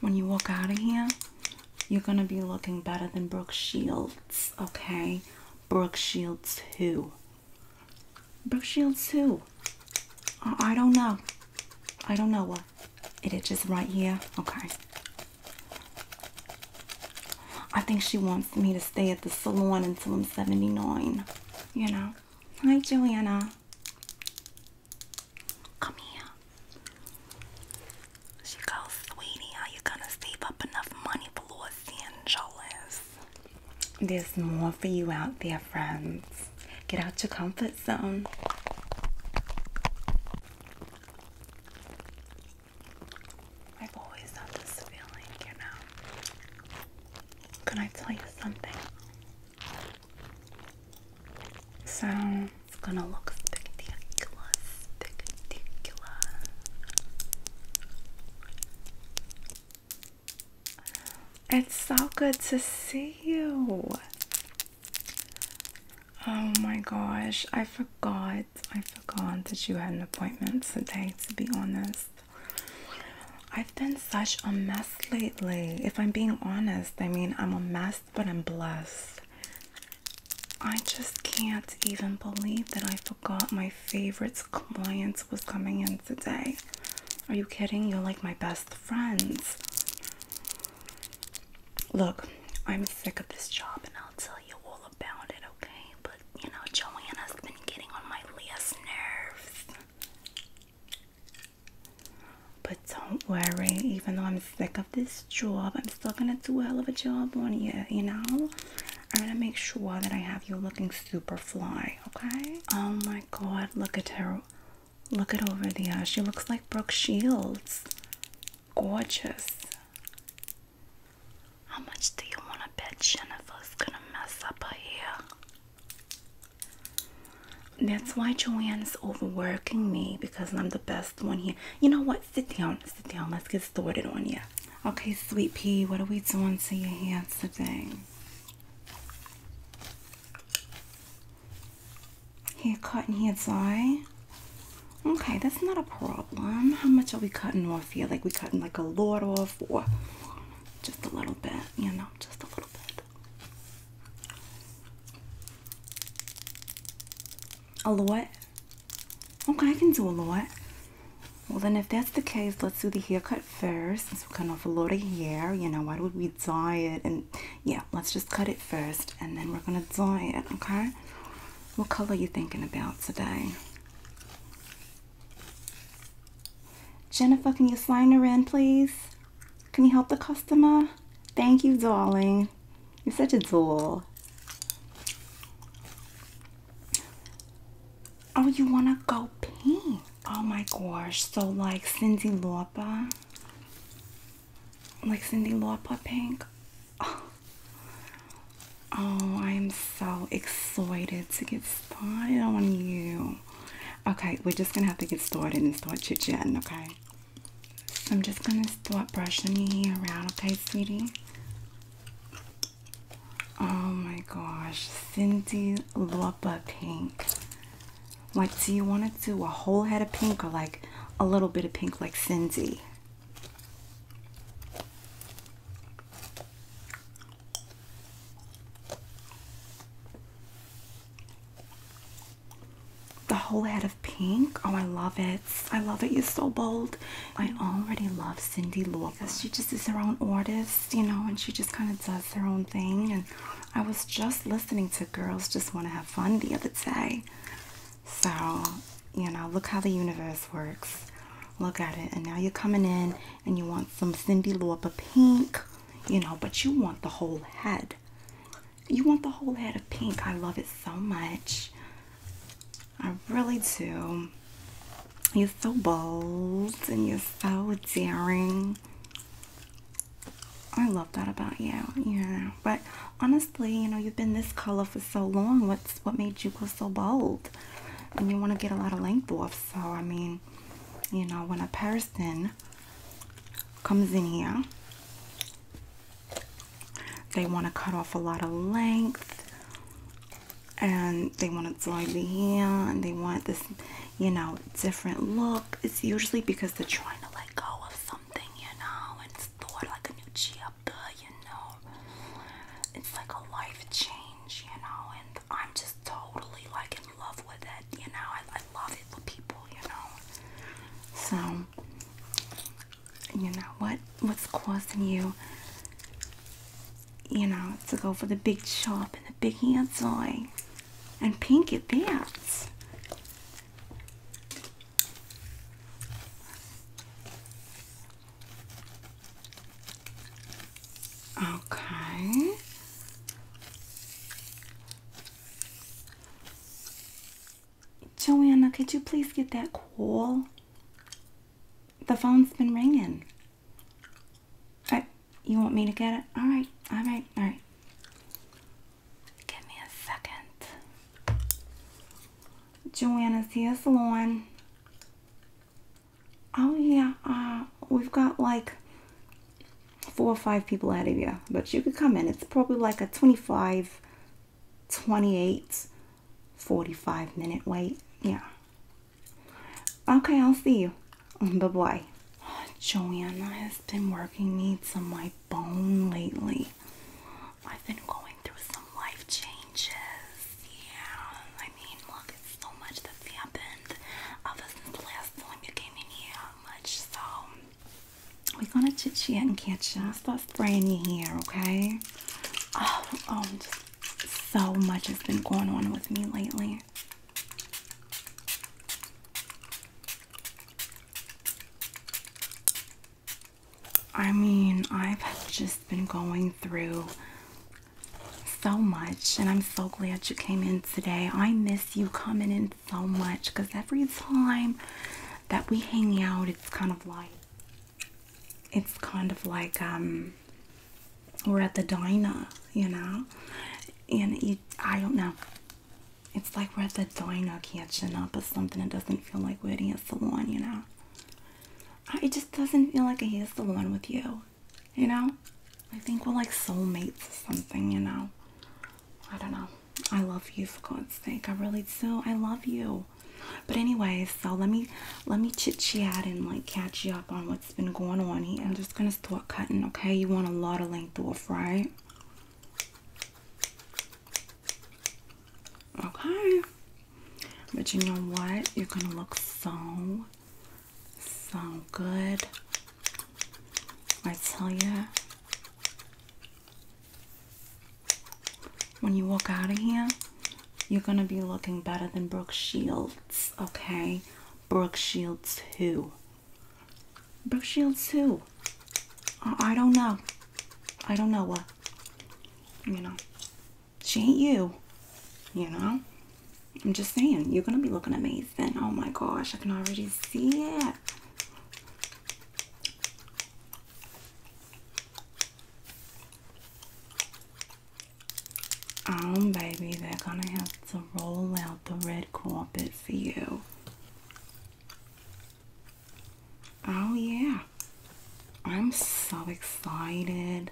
when you walk out of here, you're gonna be looking better than Brooke Shields, okay? Brooke Shields who? Brooke Shields who? I, don't know. I don't know what it itches right here. Okay. I think she wants me to stay at the salon until I'm 79. You know? Hi, Juliana. Come here. She goes, sweetie, are you gonna save up enough money for Los Angeles? There's more for you out there, friends. Get out your comfort zone. I've always had this feeling, you know. Can I tell you something? So it's gonna look spectacular, It's so good to see you. Oh my gosh, I forgot. I forgot that you had an appointment today, to be honest. I've been such a mess lately. If I'm being honest, I mean, I'm a mess but I'm blessed. I just can't even believe that I forgot my favorites client was coming in today. Are you kidding? You're like my best friends. Look, I'm sick of this job and I'll tell you all about it, okay? But you know, Joanna's been getting on my last nerves. But don't worry, even though I'm sick of this job, I'm still gonna do a hell of a job on you, you know? I'm gonna make sure that I have you looking super fly, okay? Oh my god, look at her. Look at over there. She looks like Brooke Shields. Gorgeous. How much do you want to bet Jennifer's gonna mess up her that's why Joanne is overworking me because I'm the best one here. You know what? Sit down, sit down. Let's get started on you. Okay, sweet pea, what are we doing to your hair today? Hair cutting and hair dye. Okay, that's not a problem. How much are we cutting off here? Like we cutting like a lot off or just a little bit, you know, just a little bit. A lot? Okay, I can do a lot. Well, then if that's the case, let's do the haircut first. we're cutting off a lot of hair, you know, why would we dye it? And yeah, let's just cut it first and then we're going to dye it, okay? What color you thinking about today? Jennifer, can you sign her in, please? Can you help the customer? Thank you, darling. You're such a doll. Oh, you want to go pink? Oh my gosh. So, like Cindy Lauper? Like Cindy Lauper pink? Oh. oh, I am so excited to get started on you. Okay, we're just gonna have to get started and start chit chatting, okay? So I'm just gonna start brushing your hair around, okay, sweetie? Oh my gosh, Cindy Lauper Pink. Like, do you want to do a whole head of pink or like a little bit of pink, like Cindy? The whole head of pink. Oh, I love it. I love it. You're so bold. I already love Cindy Lopez. she just is her own artist, you know, and she just kind of does her own thing. And I was just listening to Girls Just Want to Have Fun the other day. So, you know, look how the universe works. Look at it. And now you're coming in and you want some Cindy Lopez pink you know, but you want the whole head. You want the whole head of pink. I love it so much. I really do. You're so bold and you're so daring. I love that about you, yeah. But honestly, you know, you've been this color for so long. What's what made you go so bold? And you want to get a lot of length off. So I mean, you know, when a person comes in here. They want to cut off a lot of length and they want it slightly here and they want this, you know, different look. It's usually because they're trying to let go of something, you know, and start like a new chapter, you know. It's like a life change, you know, and I'm just totally like in love with it. You know, I, love it for people. You know, so you know what what's causing you, you know, to go for the big chop and the big handsome and pink at that. Okay. Joanna, could you please get that call? The phone's been ringing. Uh, you want me to get it? All right, all right, all right. Give me a second. Joanna's hair salon. Oh yeah, uh, we've got like four or five people out of you, but you could come in. It's probably like a 25, 28, 45 minute wait. Yeah. Okay, I'll see you. Bye bye. Oh, Joanna has been working me to my bone lately. I've been going through some life changes. Yeah, I mean, look, it's so much that's happened ever since the last time you came in here, much so. We're gonna chit chat and catch up. Start spraying your hair, okay? Oh, oh, so much has been going on with me lately. I mean, I've just been going through so much, and I'm so glad you came in today. I miss you coming in so much because every time that we hang out, it's kind of like it's kind of like um we're at the diner, you know, and it, I don't know. It's like we're at the diner catching up or something. It doesn't feel like we're at a salon, you know. It just doesn't feel like a hair salon with you you know? I think we're like soulmates or something, you know? I don't know. I love you for God's sake. I really do. I love you. But anyway, so let me let me chit chat and like catch you up on what's been going on here. I'm just gonna start cutting, okay? You want a lot of length off, right? Okay. But you know what? You're gonna look so Sound good. I tell you, when you walk out of here, you're gonna be looking better than Brooke Shields, okay? Brooke Shields who? Brooke Shields who? I don't know. I don't know what. You know, she ain't you. You know? I'm just saying, you're going to be looking amazing. Oh my gosh, I can already see it. Oh, baby, they're going to have to roll out the red carpet for you. Oh, yeah. I'm so excited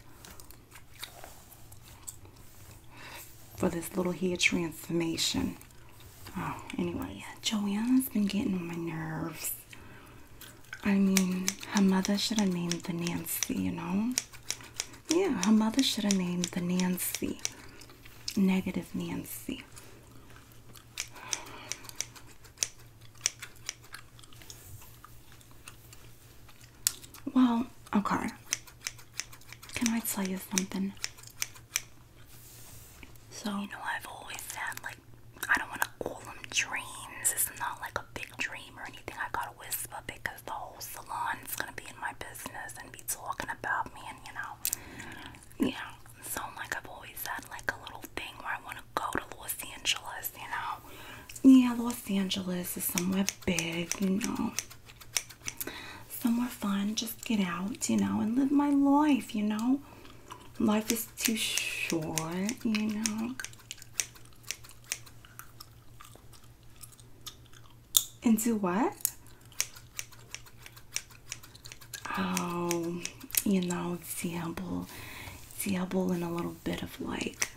for this little hair transformation. Oh, anyway, Joanna's been getting on my nerves. I mean, her mother should have named the Nancy, you know? Yeah, her mother should have named the Nancy. Negative Nancy. Well, okay. Can I tell you something? So you know I've always had like I don't want to call them dreams. It's not like a big dream or anything. I gotta whisper because the whole salon is gonna be in my business and be talking about me and you know, yeah. So like I've always had like a little thing where I want to go to Los Angeles, you know, yeah, Los Angeles is somewhere big, you know, somewhere fun. Just get out, you know, and live my life, you know. Life is too short, you know. And do what? Oh, you know, dabble, dabble and a little bit of like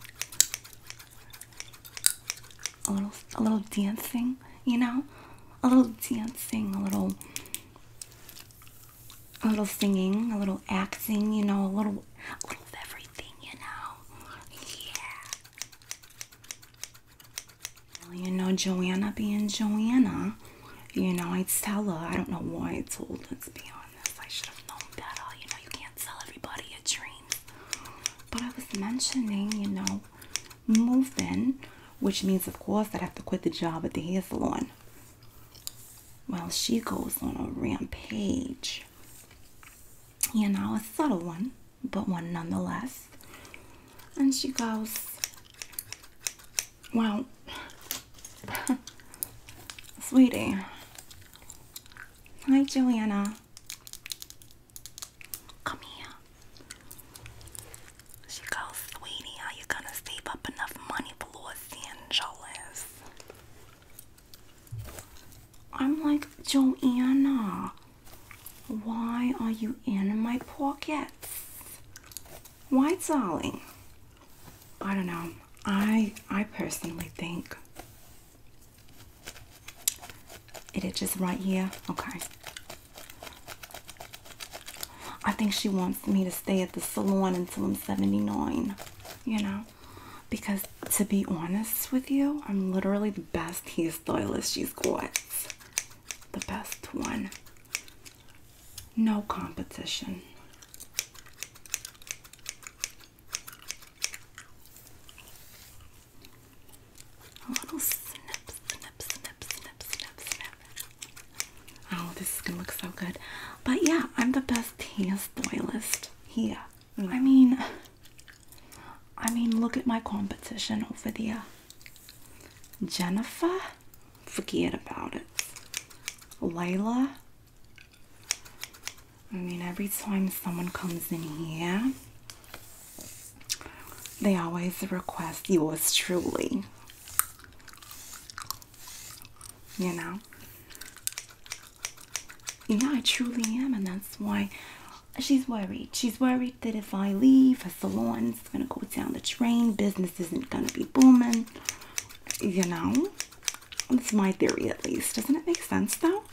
a little a little dancing, you know, a little dancing, a little a little singing, a little acting, you know, a little a little of everything, you know. Yeah. you know, Joanna being Joanna, you know, I tell her, I don't know why I told Let's be honest. I should have known better. You know, you can't sell everybody a dream. But I was mentioning, you know, moving, which means, of course, I'd have to quit the job at the hair salon. Well, she goes on a rampage. You know, a subtle one, but one nonetheless. And she goes, Well, sweetie. Hi, Joanna. Come here. She goes, sweetie, are you gonna save up enough money for Los Angeles? I'm like, Joanna, why are you in my pockets? Why, darling? I don't know. I I personally think it is just right here. Okay. I think she wants me to stay at the salon until I'm 79. You know? Because to be honest with you, I'm literally the best hairstylist she's The best one. No competition. A little snip, snip, snip, snip, snip, snip. Oh, this is gonna look so good. But yeah, I'm the best hair stylist here. Mm. I mean, I mean, look at my competition over there. Jennifer, forget about it. Layla, I mean, every time someone comes in here, they always request yours truly. You know? Yeah, I truly am, and that's why she's worried. She's worried that if I leave, her salon's gonna go down the drain, business isn't gonna be booming, you know? That's my theory, at least. Doesn't it make sense, though?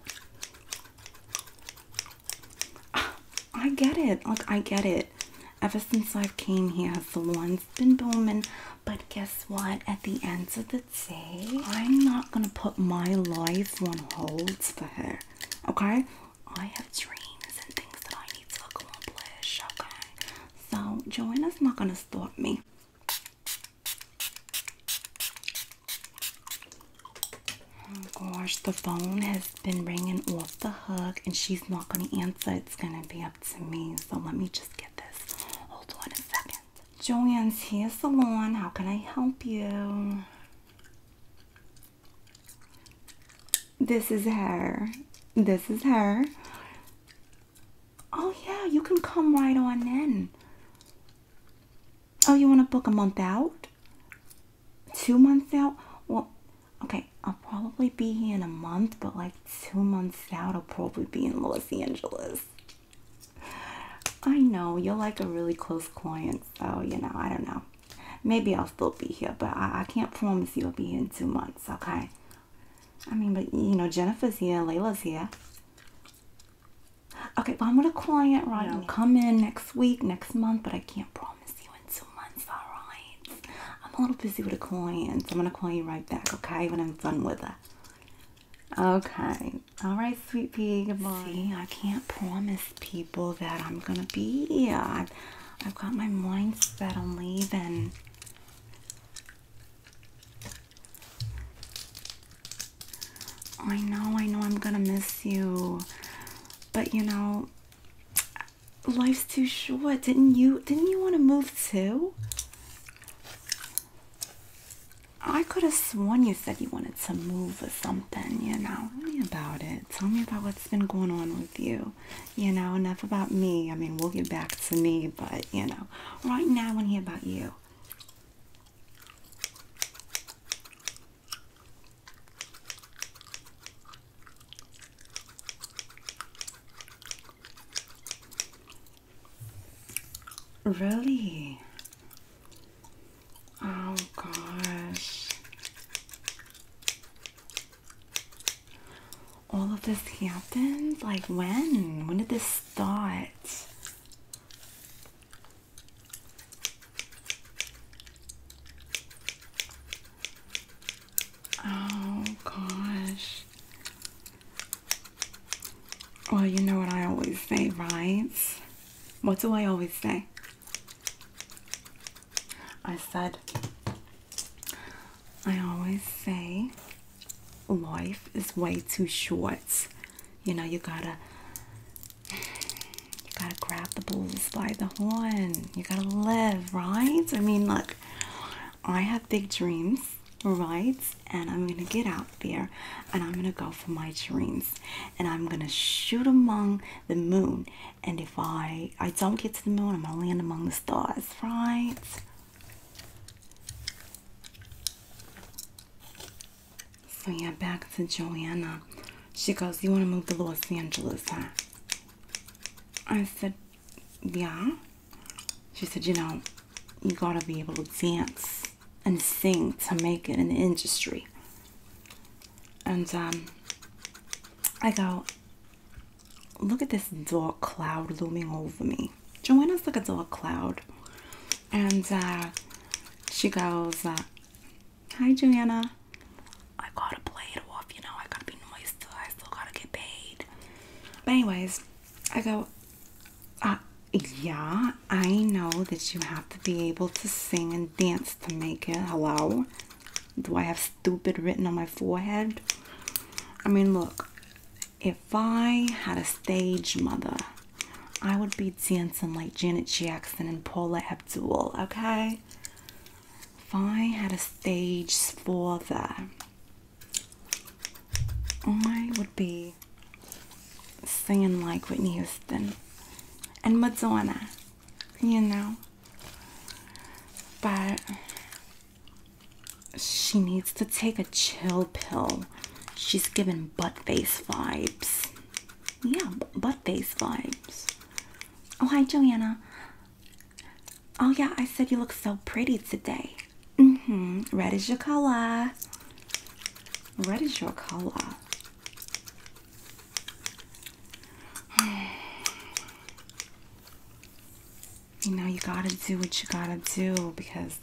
I get it. Look, I get it. Ever since I've came here, the one's been booming. But guess what? At the end of the day, I'm not gonna put my life on hold for her. Okay? I have dreams and things that I need to accomplish, okay? So, Joanna's not gonna stop me. Oh gosh, the phone has been ringing off the hook and she's not gonna answer. It's gonna be up to me. So, let me just get this. Hold on a second. Joanne's hair salon, how can I help you? This is her. This is her. Oh, yeah, you can come right on in. Oh, you want to book a month out? Two months out? Well, okay, I'll probably be here in a month, but like two months out, I'll probably be in Los Angeles. I know, you're like a really close client, so you know, I don't know. Maybe I'll still be here, but I, can't promise you I'll be here in two months, okay? I mean, but you know, Jennifer's here, Layla's here. Okay, but I'm with a client, right? I'll come in next week, next month, but I can't promise you in two months, alright? I'm a little busy with a client. So I'm gonna call you right back, okay? When I'm done with her. Okay. Alright, sweet pea, goodbye. See, I can't promise people that I'm gonna be. i I've got my mind set on leaving. I know, I know I'm gonna miss you. But you know, life's too short. Didn't you didn't you want to move too? I could have sworn you said you wanted to move or something, you know. Tell me about it. Tell me about what's been going on you? You know, enough about me. I mean, we'll get back to me, but you know, right now I want to hear about you. Really? Oh gosh. All of this happened? Like when? When did this start? Oh gosh. Well, you know what I always say, right? What do I always say? I said, I always say life is way too short. You know, you gotta you gotta grab the bulls by the horn. You gotta live, right? I mean look, I have big dreams, right? And I'm gonna get out there and I'm gonna go for my dreams and I'm gonna shoot among the moon and if I I don't get to the moon, I'm gonna land among the stars, right? So yeah, back to Joanna. She goes, "You want to move to Los Angeles, huh?" I said, "Yeah." She said, "You know, you gotta be able to dance and sing to make it in the industry." and um, I go, look at this dark cloud looming over me. Joanna's like a dark cloud, and uh, she goes, uh, "Hi, Joanna." I gotta play it off, you know. I gotta be nice to her. I still gotta get paid. But anyways, I go, uh, yeah, I know that you have to be able to sing and dance to make it. Hello? Do I have stupid written on my forehead? I mean, look, if I had a stage mother, I would be dancing like Janet Jackson and Paula Abdul, okay? If I had a stage father, I would be singing like Whitney Houston and Madonna you know. But she needs to take a chill pill. She's giving butt face vibes. Yeah, butt face vibes. Oh, hi, Joanna. Oh, yeah, I said you look so pretty today. hmm. Red is your color. Red is your color. you know, you gotta do what you gotta do because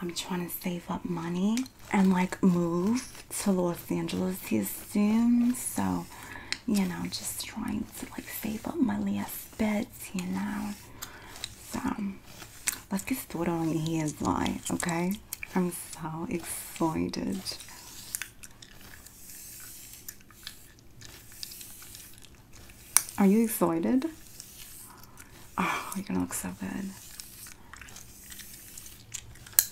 I'm trying to save up money and like move to Los Angeles soon. So, you know, just trying to like save up my last bits, you know. So, let's get started on your hair's line, okay? I'm so excited. Are you excited? Oh, you're gonna look so good.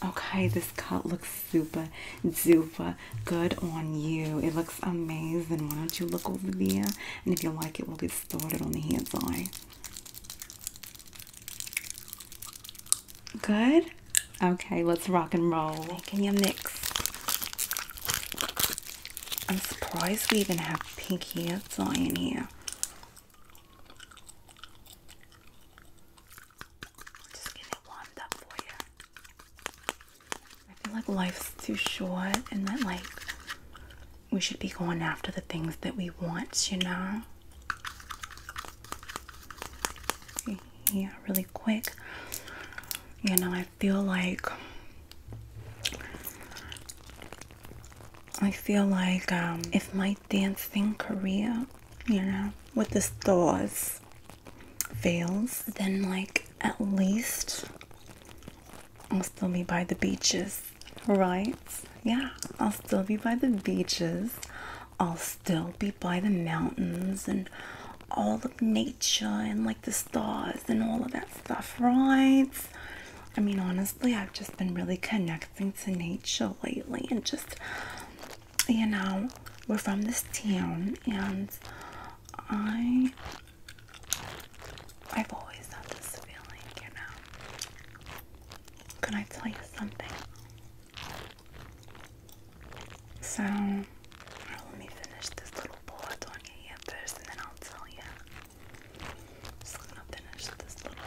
Okay, this cut looks super duper good on you. It looks amazing. Why don't you look over there? And if you like it, we'll get started on the hand side. Good? Okay, let's rock and roll. Making your mix. I'm surprised we even have pinky hair dye in here. Just get it warmed up for you. I feel like life's too short and that like we should be going after the things that we want, you know? yeah really quick you know i feel like i feel like um, if my dancing career you know with the stars fails then like at least i'll still be by the beaches right yeah i'll still be by the beaches I'll still be by the mountains and all of nature and like the stars and all of that stuff, right? I mean, honestly, I've just been really connecting to nature lately and just, you know, we're from this town and I, I've always had this feeling, you know. Can I tell you something? So, oh, let me finish this little bullet on your first and then I'll tell you. Just gonna finish this little.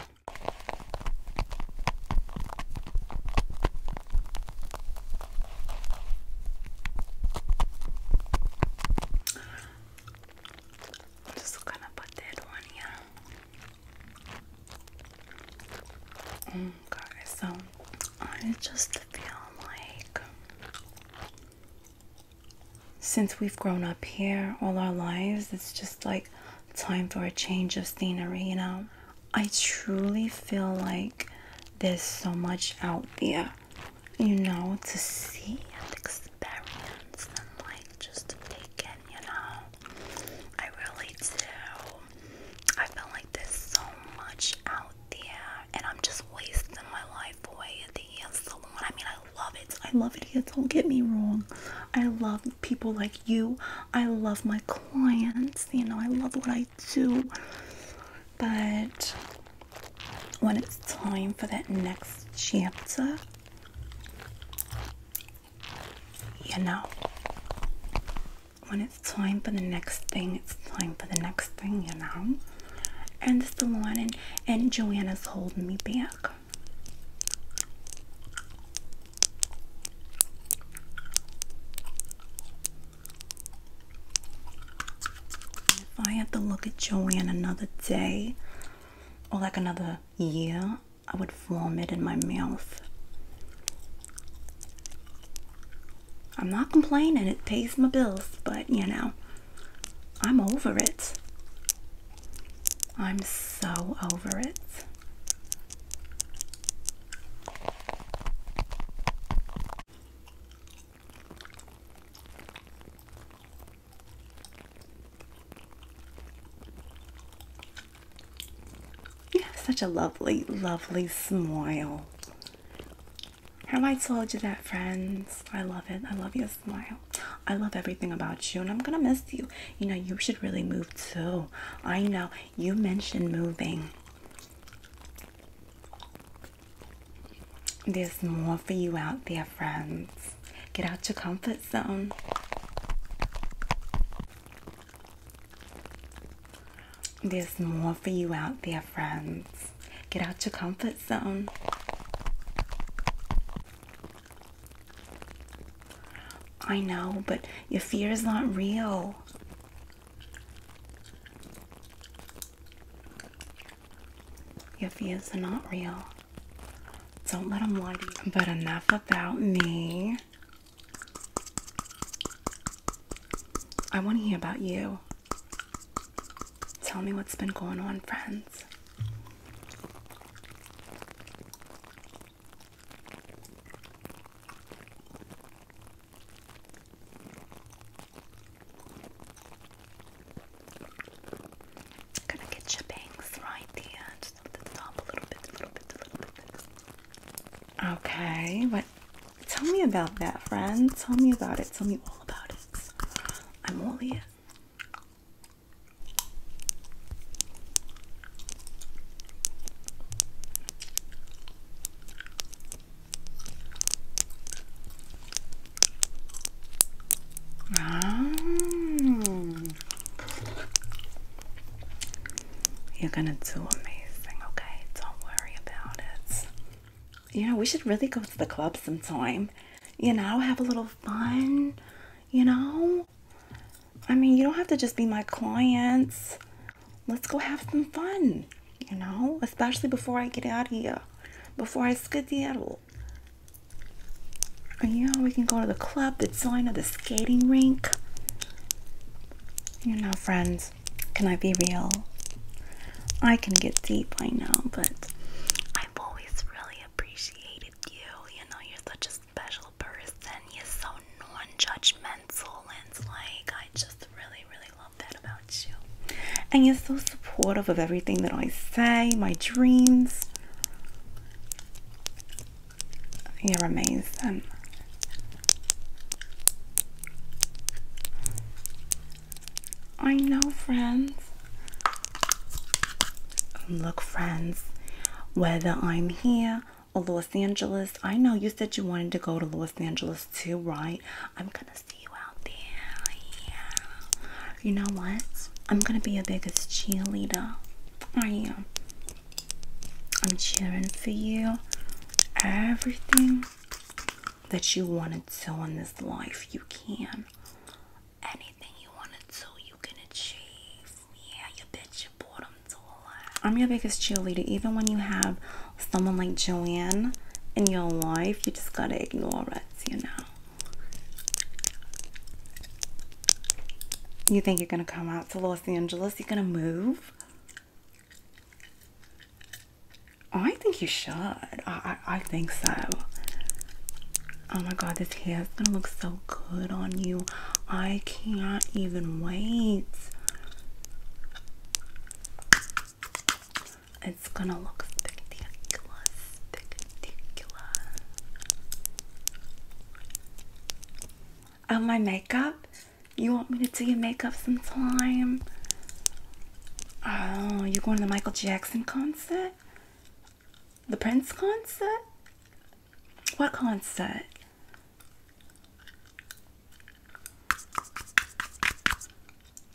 just gonna put that on here. Mm, guys, so I just feel like since we've grown up here all our lives, it's just like time for a change of scenery, you know. I truly feel like there's so much out there, you know, to see and experience and like just to take in, you know. I really do. I feel like there's so much out there, and I'm just wasting my life away at the hair salon. I mean, I love it. I love it here. Don't get me wrong. I love people like you. I love my clients. You know, I love what I do. But when it's time for that next chapter, you know, when it's time for the next thing, it's time for the next thing, you know. And the salon and, Joanna's holding me back. If I have to look at Joanna another day or like another year, I would vomit in my mouth. I'm not complaining, it pays my bills, but you know, I'm over it. I'm so over it. You have such a lovely, lovely smile. How I told you that, friends? I love it. I love your smile. I love everything about you, and I'm gonna miss you. You know, you should really move too. I know you mentioned moving. There's more for you out there, friends. Get out your comfort zone. There's more for you out there, friends. Get out your comfort zone. I know, but your fear is not real. Your fears are not real. Don't let them lie to you. But enough about me. I want to hear about you. Tell me what's been going on, friends. gonna get your bangs right there. Okay, what? Tell me about that, friend. Tell me about it. Tell me all about it. I'm all ears. Oh, you're gonna do amazing, okay? Don't worry about it. You know, we should really go to the club sometime. You know, have a little fun. You know? I mean, you don't have to just be my clients. Let's go have some fun. You know? Especially before I get out here. Before I skid the skedaddle cool. Oh, yeah, we can go to the club, the sign of the skating rink. You know, friends, can I be real? I can get deep, I know, but I've always really appreciated you. You know, you're such a special person. You're so non-judgmental, and like, I just really, really love that about you. And you're so supportive of everything that I say, my dreams. You're amazing. I know, friends. Look, friends, whether I'm here or Los Angeles, I know you said you wanted to go to Los Angeles too, right? I'm gonna see you out there. You know what? I'm gonna be your biggest cheerleader. I am. I'm cheering for you. Everything that you want to do in this life, you can. Anything you want to do, you can achieve. Yeah, you bet your bottom dollar. I'm your biggest cheerleader. Even when you have someone like Joanne in your life, you just gotta ignore it, you know. You think you're going to come out to Los Angeles? You're going to move? Oh, I think you should. I, I, think so. Oh my god, this hair is going to look so good on you. I can't even wait. It's going to look spectacular. Of my makeup? You want me to do your makeup sometime? Oh, you're going to the Michael Jackson concert? The Prince concert? What concert?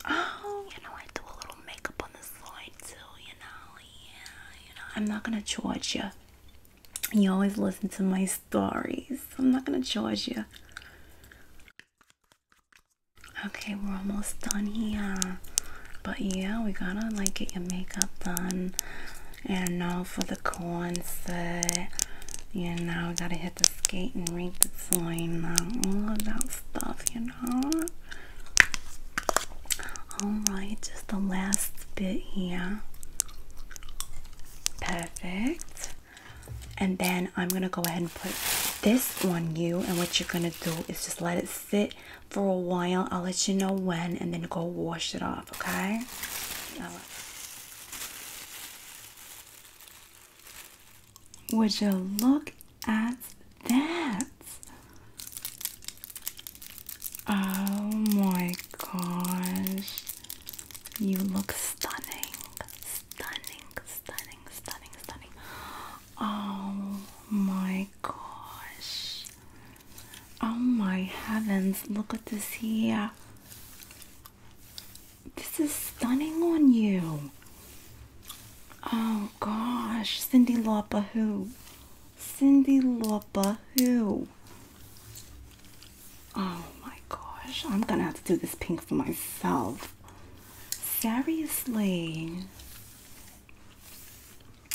Oh, you know, I do a little makeup on the side too, you know yeah, you know, I'm not gonna charge you. You always listen to my stories. I'm not gonna charge you. Okay, we're almost done here. But yeah, we gotta like get your makeup done. And now for the concert. You know, gotta hit the skate and read the sign, all that stuff, you know? Alright, just the last bit here. Perfect. And then I'm going to go ahead and put this on you. And what you're going to do is just let it sit for a while. I'll let you know when and then go wash it off, okay? Would you look as that. Oh my gosh. You look stunning. Stunning, stunning, stunning, stunning. Oh my gosh. Oh my heavens. Look at this here. This is stunning on you. Oh gosh, Cindy Lauper who? Cindy Lauper who? Oh my gosh, I'm gonna have to do this pink for myself. Seriously.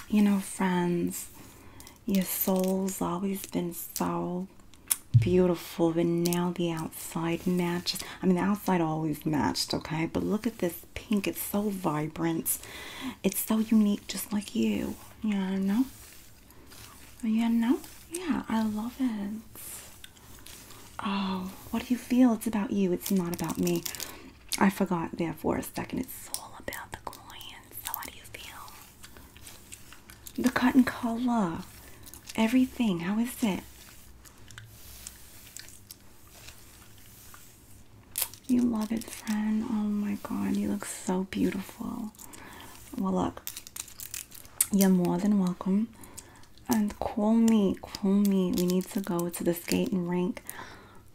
You know, friends, your soul's always been so beautiful, but now the outside matches. I mean, the outside always matched, okay? But look at this pink. It's so vibrant. It's so unique, just like you. Yeah, no. Yeah, no. Yeah, I love it. Oh, what do you feel? It's about you. It's not about me. I forgot there for a second. It's all about the client. So how do you feel? The cotton color. Everything. How is it? You love it, friend. Oh my god, you look so beautiful. Well, look, you're more than welcome. And call me, call me. We need to go to the skating rink.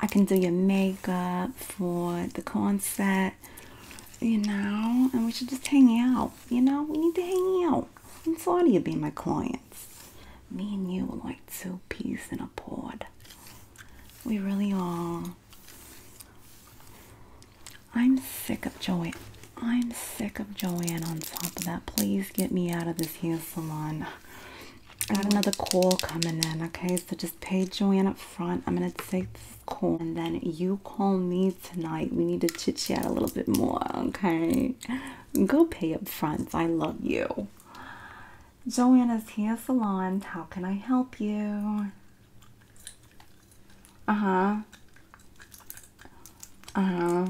I can do your makeup for the concert, you know, and we should just hang out. You know, we need to hang out. I'm sorry you my client. Me and you are like two peas in a pod. We really are. I'm sick of Joanne. I'm sick of Joanne on top of that. Please get me out of this hair salon. I got another call coming in, okay? So just pay Joanne up front. I'm gonna take this call and then you call me tonight. We need to chit chat a little bit more, okay? Go pay up front. I love you. Joanna's Hair Salon. How can I help you? Uh huh. Uh huh.